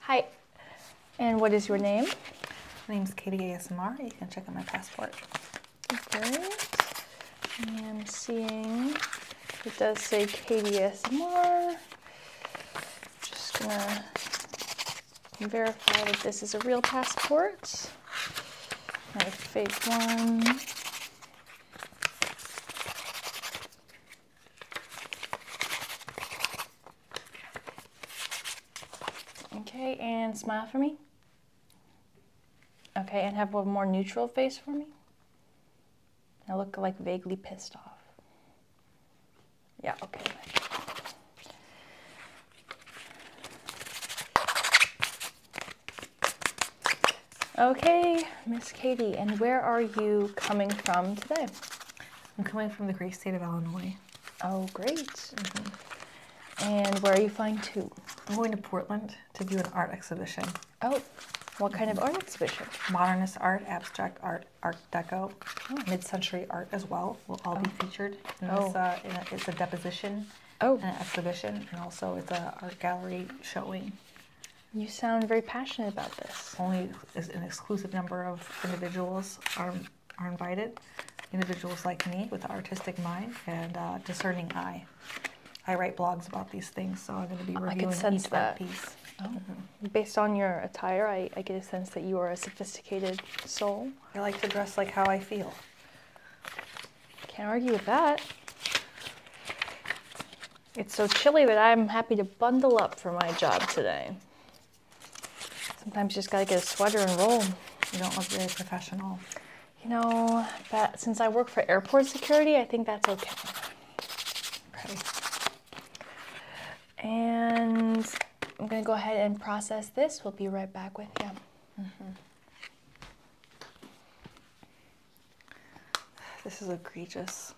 Hi, and what is your name? My name's Katie ASMR. You can check out my passport. Great. I'm seeing it does say Katie ASMR. Just gonna verify that this is a real passport. Not fake one. Okay, and smile for me. Okay, and have a more neutral face for me. I look like vaguely pissed off. Yeah, okay. Okay, Miss Katie, and where are you coming from today? I'm coming from the great state of Illinois. Oh, great. Mm-hmm. And where are you flying to? I'm going to Portland to do an art exhibition. Oh, what kind of mm-hmm. art exhibition? Modernist art, abstract art, Art Deco, oh. mid-century art as well will all be oh. featured. Oh. Uh, and it's a deposition, an exhibition, and also it's an art gallery showing. You sound very passionate about this. Only an exclusive number of individuals are, are invited. Individuals like me with an artistic mind and uh, discerning eye. I write blogs about these things, so I'm going to be reviewing I each that. piece. Oh. Mm -hmm. Based on your attire, I, I get a sense that you are a sophisticated soul. I like to dress like how I feel. Can't argue with that. It's so chilly that I'm happy to bundle up for my job today. Sometimes you just gotta get a sweater and roll. You don't look very professional. You know, But since I work for airport security, I think that's okay. okay. And I'm gonna go ahead and process this. We'll be right back with you. Mm -hmm. This is egregious.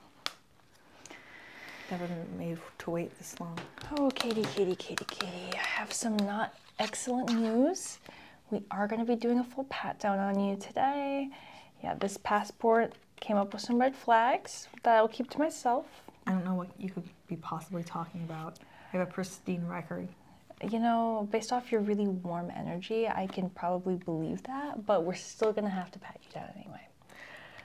Never been made to wait this long. Oh, Katie, Katie, Katie, Katie. I have some not excellent news. We are going to be doing a full pat down on you today. Yeah, this passport came up with some red flags that I'll keep to myself. I don't know what you could be possibly talking about. I have a pristine record. You know, based off your really warm energy, I can probably believe that, but we're still gonna have to pat you down anyway.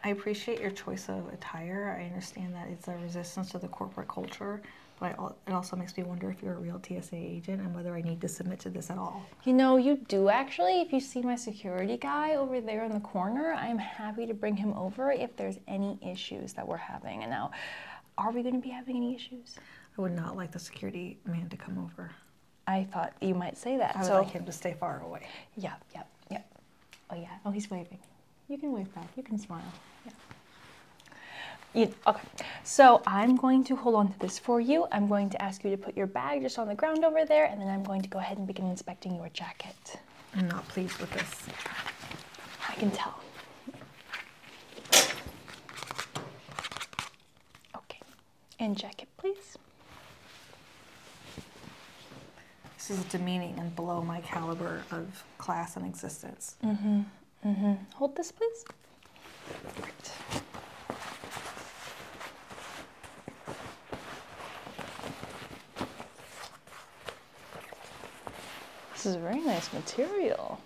I appreciate your choice of attire. I understand that it's a resistance to the corporate culture, but it also makes me wonder if you're a real TSA agent and whether I need to submit to this at all. You know, you do actually. If you see my security guy over there in the corner, I'm happy to bring him over if there's any issues that we're having. And now, are we going to be having any issues? I would not like the security man to come over. I thought you might say that. I would so, like him to stay far away. Yeah, yeah, yeah. Oh yeah. Oh, he's waving. You can wave back. You can smile. Yeah. You, okay, so I'm going to hold on to this for you. I'm going to ask you to put your bag just on the ground over there, and then I'm going to go ahead and begin inspecting your jacket. I'm not pleased with this. I can tell. Okay, and jacket, please. This is demeaning and below my caliber of class and existence. Mm-hmm. Mm-hmm. Hold this, please. This is very nice material.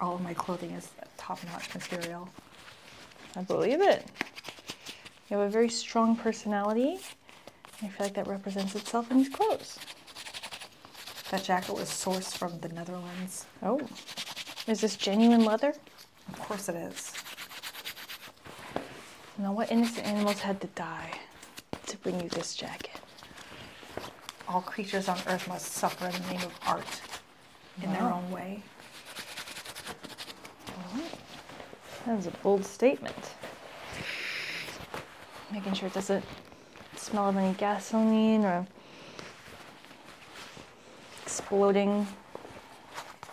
All of my clothing is top-notch material. I believe it. You have a very strong personality. I feel like that represents itself in these clothes. That jacket was sourced from the Netherlands. Oh, is this genuine leather? Of course it is. Now, what innocent animals had to die to bring you this jacket? All creatures on earth must suffer in the name of art in their own way. That's a bold statement. Making sure it doesn't smell of any gasoline or exploding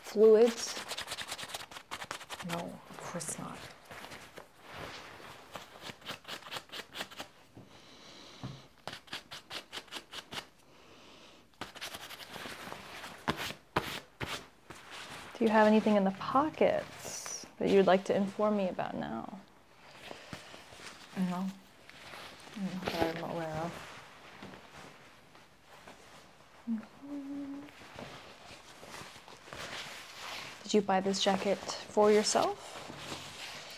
fluids. No, of course not. Do you have anything in the pockets that you would like to inform me about now? No. Not aware of. Mm-hmm. Did you buy this jacket for yourself?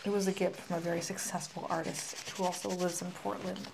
It was a gift from a very successful artist who also lives in Portland.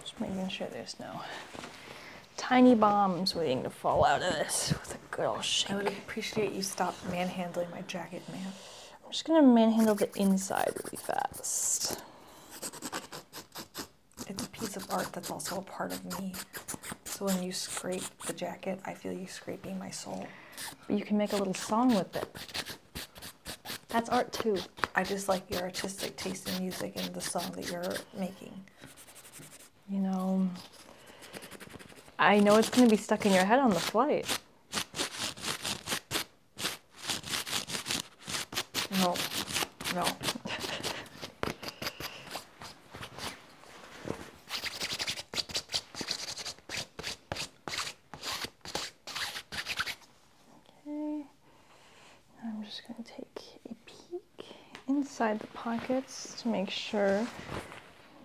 Just making sure there's no tiny bombs waiting to fall out of this with a good old shake. I would appreciate you stop manhandling my jacket, man. I'm just gonna manhandle the inside really fast. It's a piece of art that's also a part of me. So when you scrape the jacket, I feel you scraping my soul. But You can make a little song with it. That's art too. I just like your artistic taste in music and the song that you're making. You know, I know it's going to be stuck in your head on the flight. No, no. okay. I'm just going to take a peek inside the pockets to make sure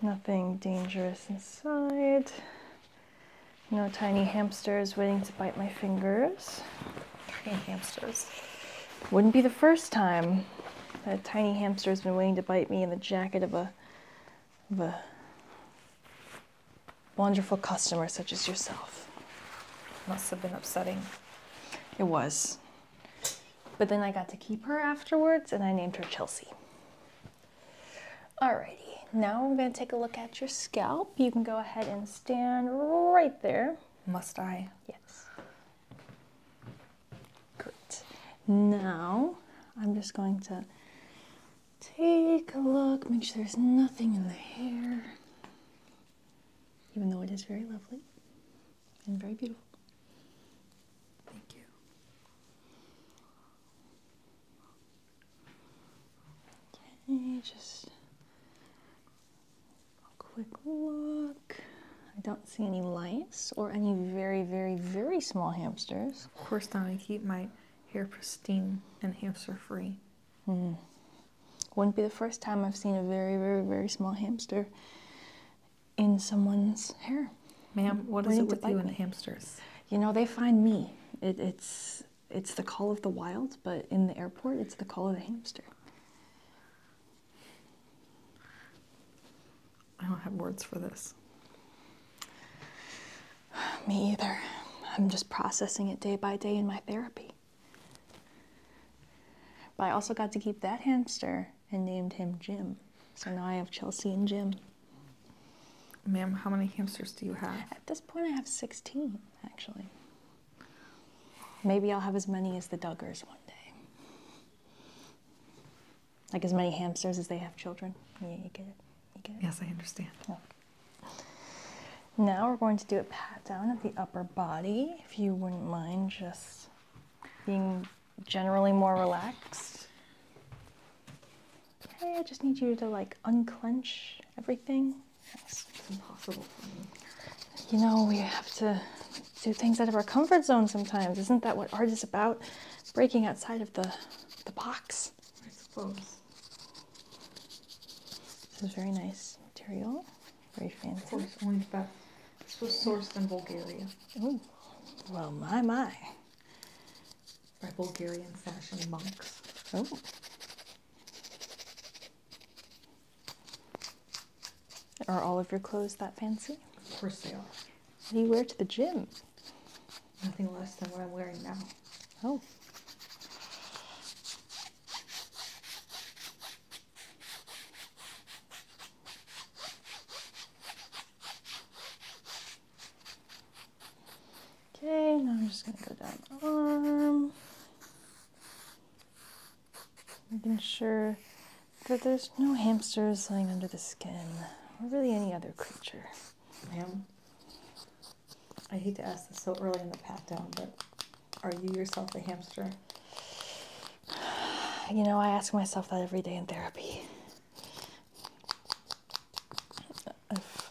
nothing dangerous inside. No tiny hamsters waiting to bite my fingers. Tiny hamsters. Wouldn't be the first time that tiny hamster's been waiting to bite me in the jacket of a wonderful customer such as yourself. Must have been upsetting. It was. But then I got to keep her afterwards and I named her Chelsea. Alrighty, now I'm going to take a look at your scalp. You can go ahead and stand right there. Must I? Yes. Great. Now I'm just going to take a look, make sure there's nothing in the hair even though it is very lovely and very beautiful. Thank you. Okay, just a quick look. I don't see any lice or any very, very, very small hamsters. Of course not. I keep my hair pristine and hamster free. Hmm. Wouldn't be the first time I've seen a very, very, very small hamster in someone's hair. Ma'am, what is it with you and me? hamsters? You know, they find me. it's it's the call of the wild, but in the airport, it's the call of the hamster. I don't have words for this. Me either. I'm just processing it day by day in my therapy. But I also got to keep that hamster and named him Jim. So now I have Chelsea and Jim. Ma'am, how many hamsters do you have? At this point, I have 16, actually. Maybe I'll have as many as the Duggars one day. Like as many hamsters as they have children. Yeah, you get it. You get it. Yes, I understand. Now we're going to do a pat down of the upper body, if you wouldn't mind just being generally more relaxed. Okay, I just need you to like unclench everything. It's impossible You know, we have to do things out of our comfort zone sometimes. Isn't that what art is about? Breaking outside of the, the box. I suppose. This is very nice material. Very fancy. Porcelain bath. This was sourced in Bulgaria. Oh, well, my, my. By Bulgarian fashion monks. Oh. Are all of your clothes that fancy? Of course they are. What do you wear to the gym? Nothing less than what I'm wearing now. Oh. Okay, now I'm just going to go down the arm, making sure that there's no hamsters lying under the skin, or really any other creature. Ma'am, I hate to ask this so early in the pat down, but are you yourself a hamster? You know, I ask myself that every day in therapy. If,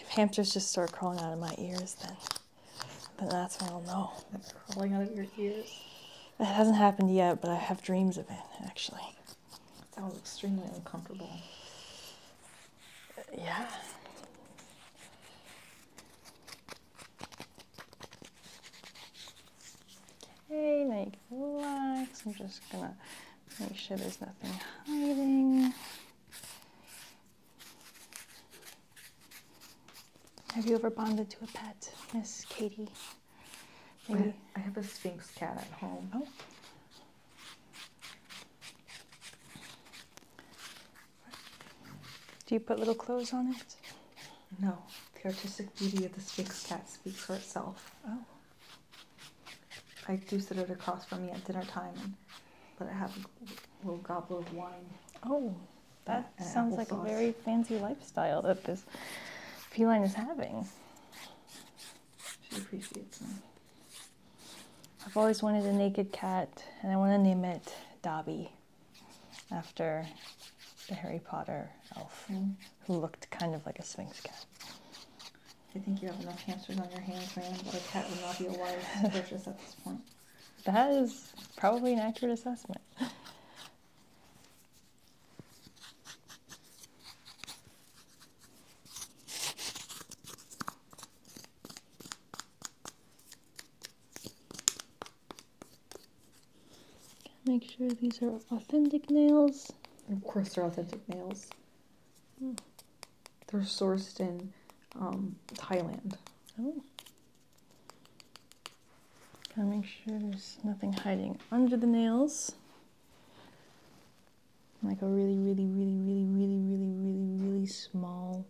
if hamsters just start crawling out of my ears, then then that's when I'll know. crawling out of your ears. It hasn't happened yet, but I have dreams of it actually. That was extremely uncomfortable. Yeah. Okay, now you can relax. I'm just gonna make sure there's nothing hiding. Have you ever bonded to a pet, Miss Katie? Maybe. I have a Sphinx cat at home. Oh. Do you put little clothes on it? No. The artistic beauty of the Sphinx cat speaks for itself. Oh. I do sit it across from me at dinner time and let it have a little goblet of wine. Oh, that sounds like a very fancy lifestyle that this feline is having. She appreciates them. I've always wanted a naked cat, and I want to name it Dobby after the Harry Potter elf, mm. who looked kind of like a Sphinx cat. I think you have enough hamsters on your hands, man. But a cat would not be a wise purchase at this point. That is probably an accurate assessment. Make sure these are authentic nails. Of course, they're authentic nails. Hmm. They're sourced in um, Thailand. Oh. Gotta make sure there's nothing hiding under the nails. Like a really, really, really, really, really, really, really, really small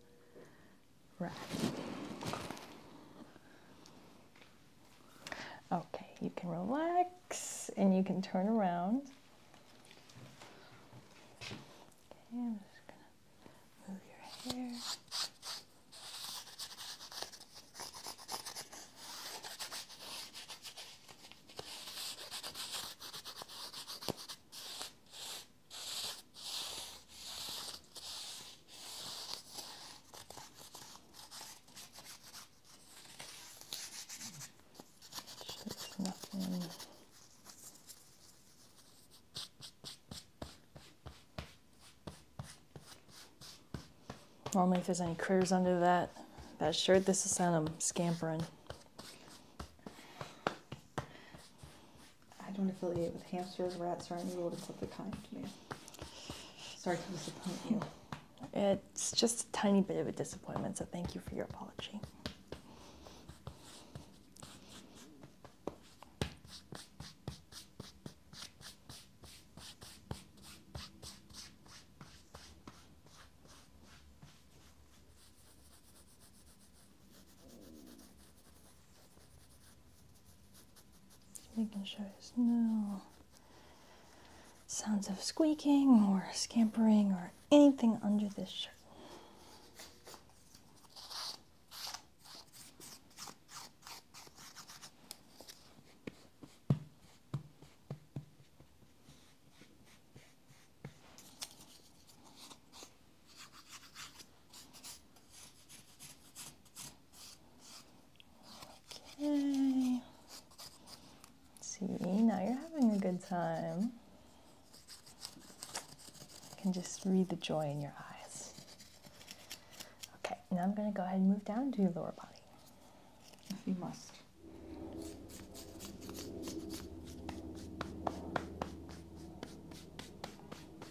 Okay, you can relax and you can turn around. Okay, I'm just gonna move your hair. There's nothing. Normally, if there's any critters under that that shirt, this is send them scampering. I don't affiliate with hamsters, rats, or any other rodents of the kind. Maybe. Sorry to disappoint you. It's just a tiny bit of a disappointment, so thank you for your apology. Just making sure there's no sounds of squeaking or scampering or anything under this shirt. Okay. See, now you're having a good time. You can just read the joy in your eyes. Okay, now I'm going to go ahead and move down to your lower body. If you must.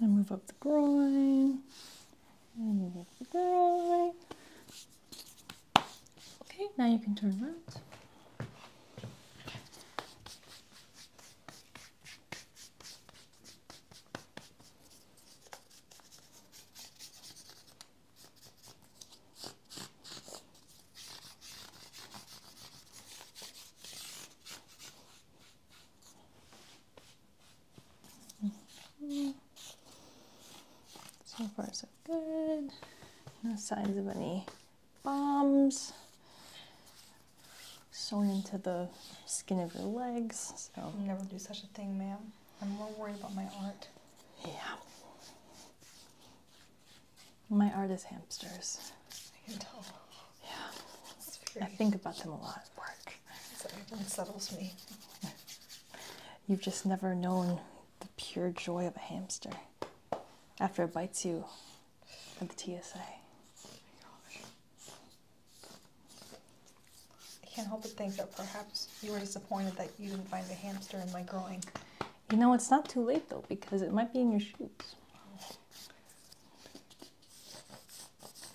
And move up the groin. and move up the groin. Okay, now you can turn around. Mm-hmm. So far, so good. No signs of any bombs sewn into the skin of your legs. So i never do such a thing, ma'am. I'm more worried about my art. Yeah. My art is hamsters. I can tell. Yeah. I think about them a lot at work so it unsettles me. You've just never known the pure joy of a hamster after it bites you at the TSA. Oh I can't help but think that perhaps you were disappointed that you didn't find a hamster in my groin. You know, it's not too late though because it might be in your shoes.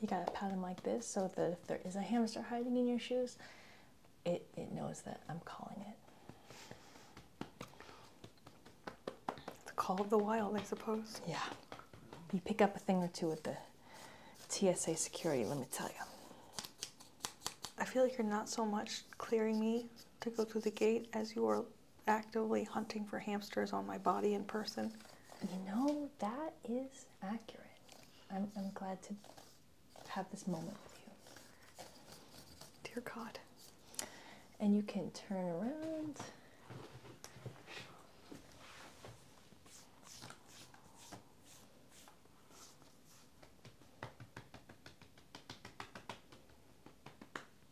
You got a pattern like this so that if there is a hamster hiding in your shoes, it, it knows that I'm calling it. The call of the wild, I suppose. Yeah. You pick up a thing or two at the TSA security, let me tell you. I feel like you're not so much clearing me to go through the gate as you are actively hunting for hamsters on my body in person. You know, that is accurate. I'm, I'm glad to have this moment with you. Dear God. And you can turn around.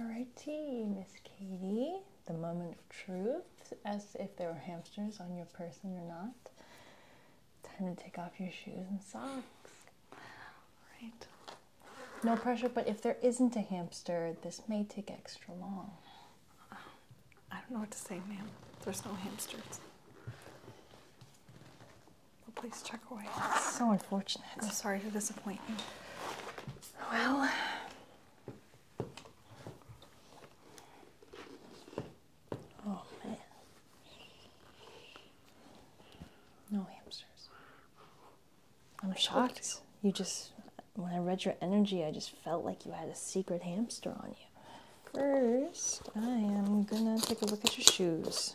Alrighty, Miss Katie, the moment of truth, as if there were hamsters on your person or not. Time to take off your shoes and socks. Alright. No pressure, but if there isn't a hamster, this may take extra long. I don't know what to say, ma'am. There's no hamsters. Well, please check away. so unfortunate. I'm sorry to disappoint you. Well, oh man, no hamsters. I'm shocked. You just, when I read your energy, I just felt like you had a secret hamster on you. First, I am gonna take a look at your shoes.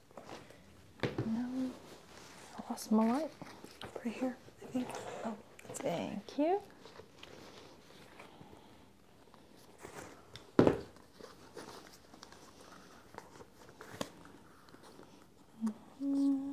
No, I lost my light. Right here, I think. Oh, thank you. -hmm. -hmm.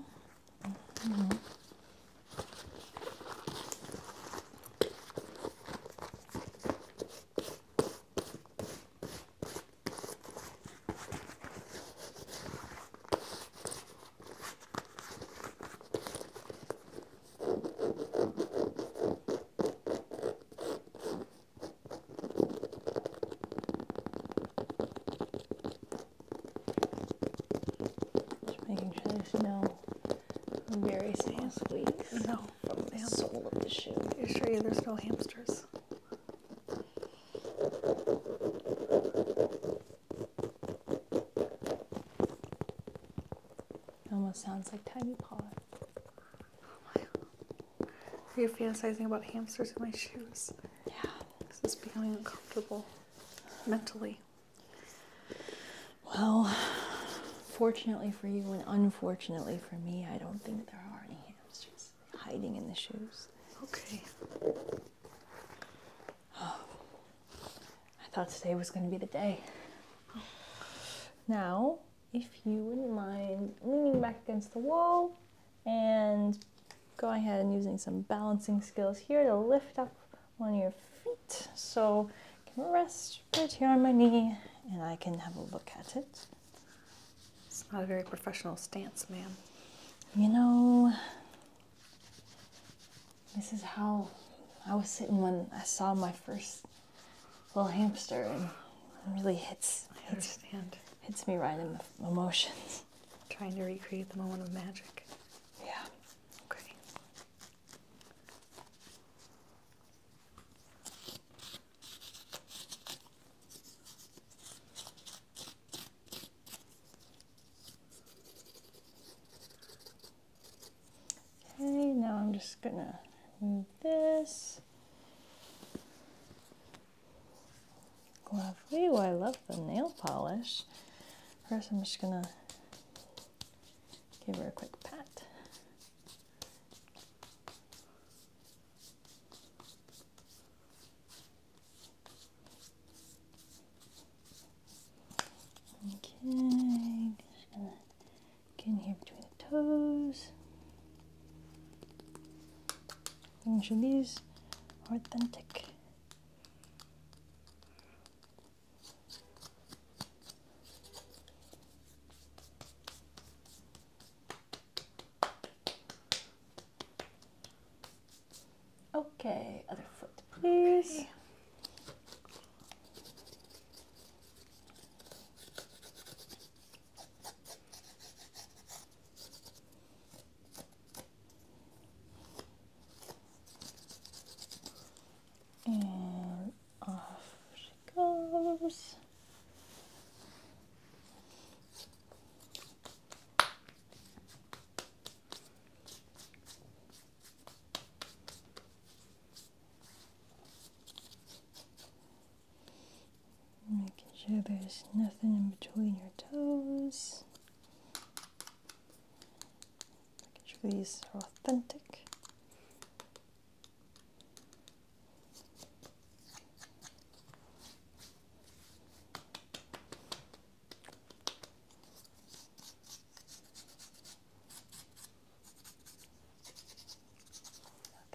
Just making sure there's no very small no, from the sole of the shoe. Are you sure there's no hamsters? almost sounds like tiny paws. Are you fantasizing about hamsters in my shoes? Yeah. This is becoming uncomfortable mentally. Well, fortunately for you and unfortunately for me, I don't think there are any hamsters hiding in the shoes. Okay. I thought today was going to be the day. Now, if you wouldn't mind leaning back against the wall and go ahead and using some balancing skills here to lift up one of your feet so I can rest right here on my knee and I can have a look at it. It's not a very professional stance, ma'am. You know, this is how I was sitting when I saw my first little hamster, and it really hits. Hits, hits me right in the emotions. Trying to recreate the moment of magic. Yeah. Okay. Okay, now I'm just gonna move this. Lovely, I love the nail polish. First I'm just gonna give her a quick pat. Okay, just gonna get in here between the toes. Making sure these authentic. Okay, other foot, please. And off she goes. Making sure there's nothing in between your toes. Making sure these are authentic.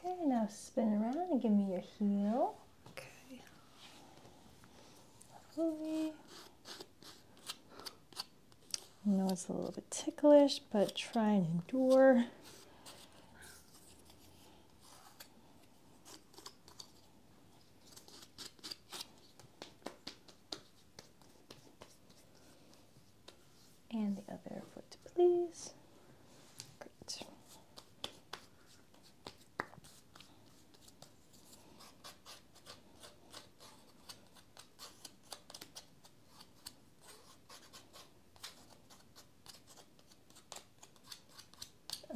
Okay, now spin around and give me your heel. Okay. Lovely. I know it's a little bit ticklish, but try and endure. And the other foot, please. Great.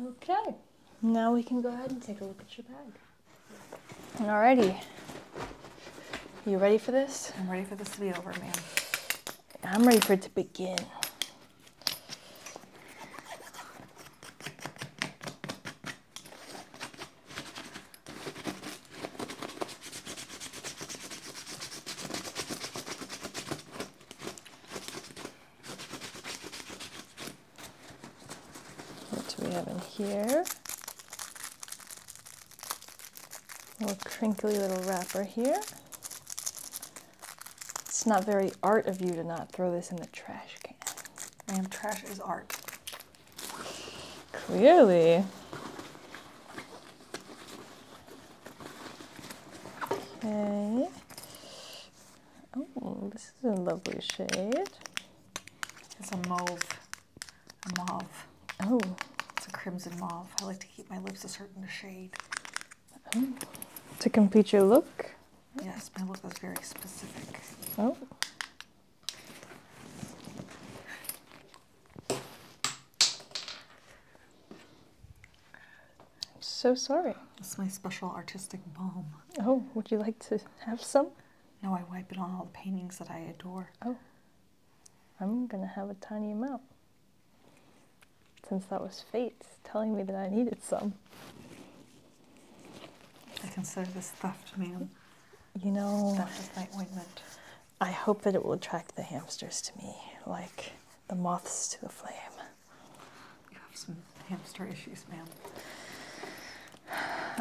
Okay, now we can go ahead and take a look at your bag. Alrighty. You ready for this? I'm ready for this to be over, man. I'm ready for it to begin. What do we have in here? Little crinkly little wrapper here. It's not very art of you to not throw this in the trash can. Ma'am, trash is art. Clearly. Okay. Oh, this is a lovely shade. It's a mauve. mauve. Oh. It's a crimson mauve. I like to keep my lips a certain shade. Oh. To complete your look? Yes, my look is very specific. Oh. I'm so sorry. It's my special artistic balm. Oh, would you like to have some? No, I wipe it on all the paintings that I adore. Oh, I'm gonna have a tiny amount. Since that was fate telling me that I needed some. I consider this theft, ma'am. You know, theft my ointment. I hope that it will attract the hamsters to me, like the moths to the flame. You have some hamster issues, ma'am.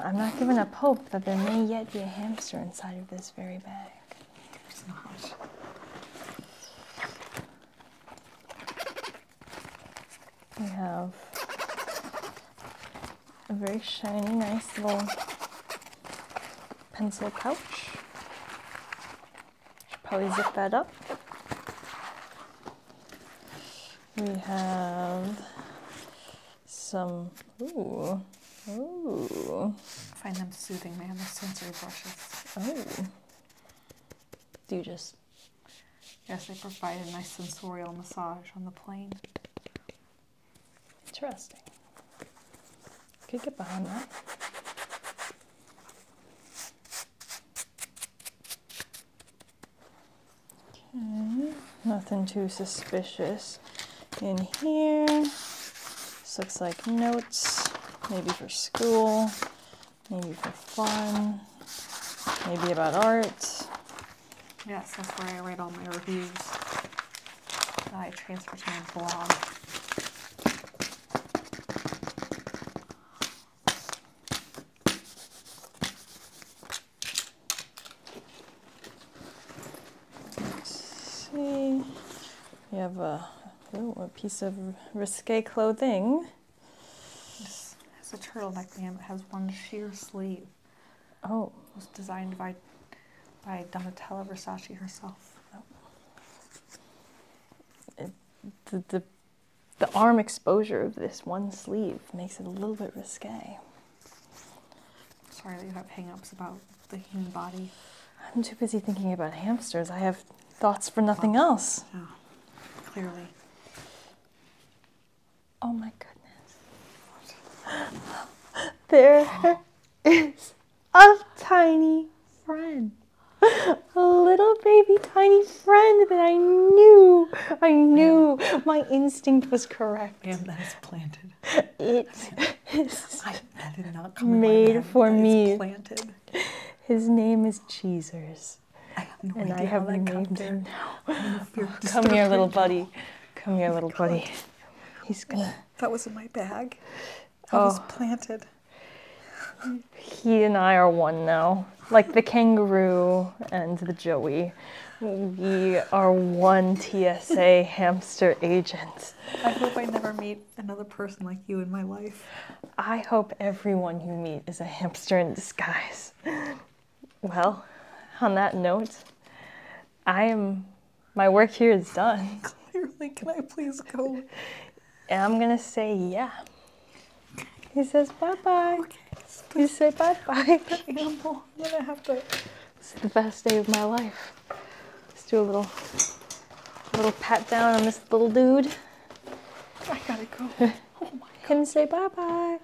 I'm not giving up hope that there may yet be a hamster inside of this very bag. There's not. We have a very shiny, nice little pencil pouch. Should probably zip that up. We have some, ooh, ooh. find them soothing, man, The sensory brushes. Oh. Do you just? Yes, they provide a nice sensorial massage on the plane. Interesting. Could get behind that. Okay, nothing too suspicious in here. This looks like notes, maybe for school, maybe for fun, maybe about art. Yes, that's where I write all my reviews I transfer to my blog see, we have a, oh, a piece of risque clothing. This has a turtleneck and it has one sheer sleeve. Oh. It was designed by, by Donatella Versace herself. the, the the arm exposure of this one sleeve makes it a little bit risque. Sorry that you have hang-ups about the human body. I'm too busy thinking about hamsters. I have thoughts for nothing else. clearly. Oh my goodness. there is a tiny friend a little baby tiny friend that I knew. I knew my instinct was correct. Damn, that is planted. It is I, that did not come made for me. planted. His name is Cheezers. and I have how named him now. come here, little buddy. Come here, little buddy. He's gonna. That was in my bag. I oh. was planted. He and I are one now. Like the kangaroo and the joey. We are one TSA hamster agent. I hope I never meet another person like you in my life. I hope everyone you meet is a hamster in disguise. Well, on that note, I am. My work here is done. Clearly, can I please go? And I'm gonna say yeah. He says bye bye. Okay. say bye bye. I'm gonna have to. It's the best day of my life. Let's do a little, little pat down on this little dude. I gotta go. oh my God. Him say bye bye.